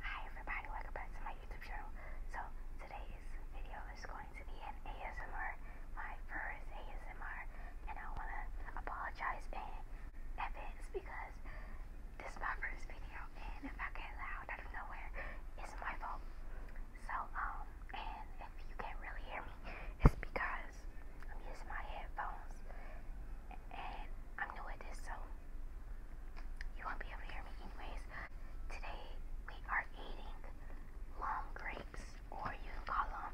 Hi everybody, welcome back to my YouTube channel. So today's video is going to be an ASMR, my first ASMR, and I want to apologize in advance because this is my first video, and if I get loud out of nowhere, it's my fault. So um, and if you can't really hear me, it's because I'm using my headphones and I'm new at this, so you won't be able to hear me anyways. Today we are eating long grapes, or you can call them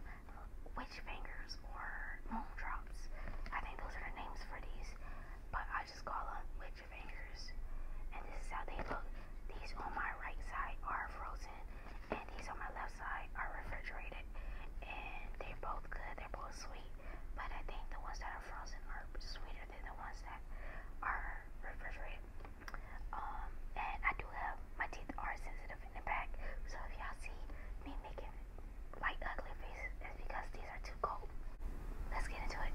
witch fingers or moon drops. I think those are the names for these, but I just call them witch fingers. And this is how they look. These on my right side are frozen, and these on my left side are refrigerated, and they're both good. They're both sweet, but I think the ones that are frozen are sweeter than the ones that are refrigerated. Um, and I do have my teeth are sensitive in the back, so if y'all see me making like ugly faces, it's because these are too cold. Let's get into it.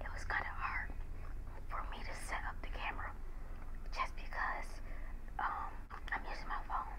It was kind of hard for me to set up the camera just because um, I'm using my phone.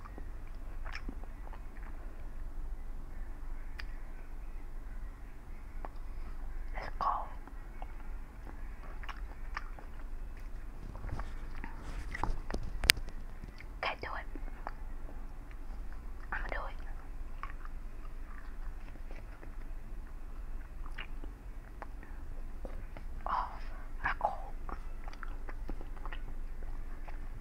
Let's go. Okay, do it. I'm gonna do it. Oh, I cold.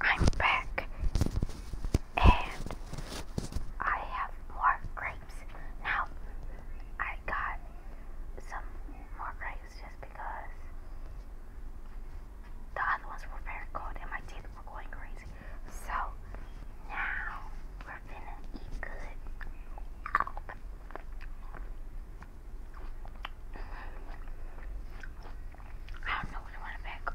I'm back, and I have more grapes now. I got some more grapes just because the other ones were very cold and my teeth were going crazy. So now we're gonna eat good. I don't know what I want to pick.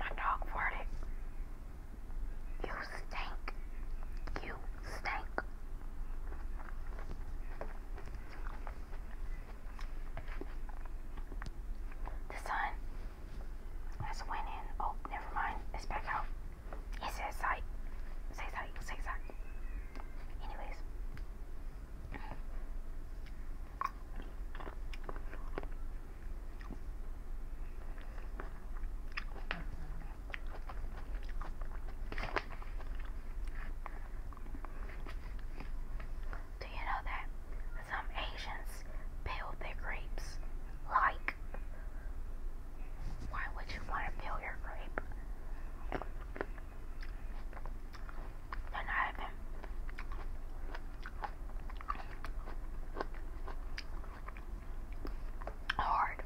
My dog farted. You stink. You stink. The sun has went in. Oh, never mind. It's back out. He says sight. sight. sight. Anyways. Do you know that some Asians peel their grapes like? Why would you want to peel your grape? than I have Hard.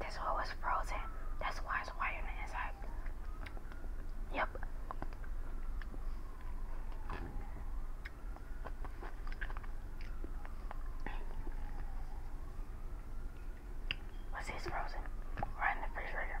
This one was frozen. That's why it's white on the inside. Yep. Let's see, it's frozen. Right in the refrigerator.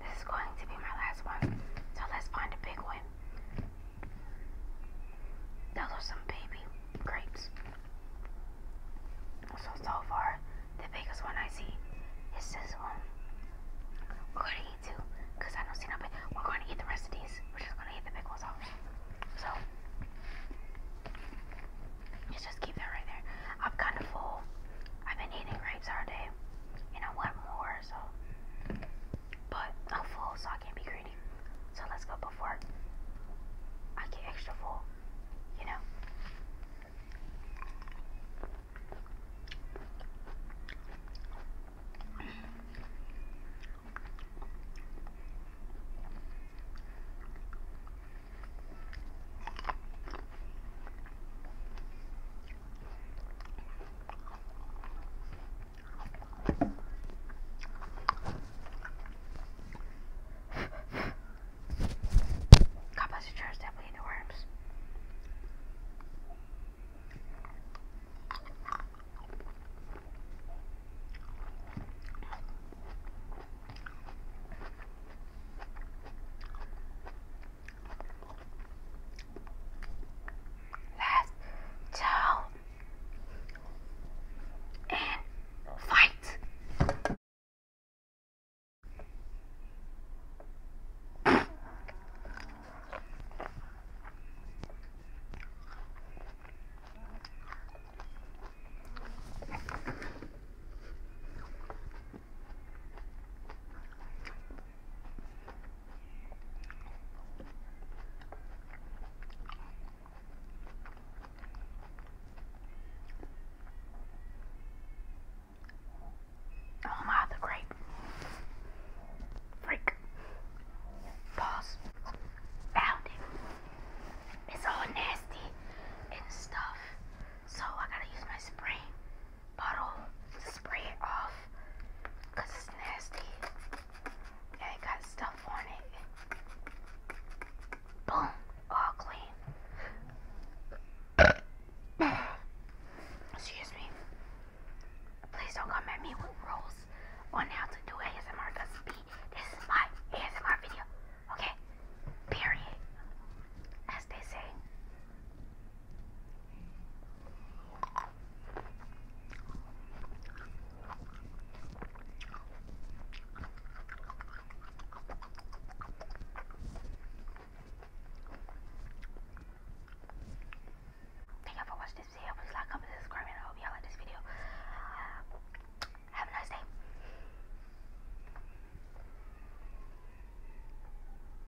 this is going to be my last one. So let's find a big one. Those are some baby grapes. So, so far, the biggest one I see is this one. We're gonna eat two, because I don't see no big. We're gonna eat the rest of these. We're just gonna eat the big ones off. So, just keep that right there. I'm kind of full. I've been eating grapes all day and I want more, so. But I'm full, so I can't be greedy. So let's go before I get extra full, you know? Capacitors definitely into worms. Let's down and fight. Oh my, the grape freak boss found it. It's all nasty and stuff, so I gotta use my spray bottle spray it off it's nasty. Yeah, it got stuff on it. Boom, all clean. Excuse me. Please don't come at me with rules on how to do ASMR this is my ASMR video. Okay? Period. As they say. Thank you for watching this video. Please like, comment, and subscribe, and I hope y'all this video. Uh, have a nice day.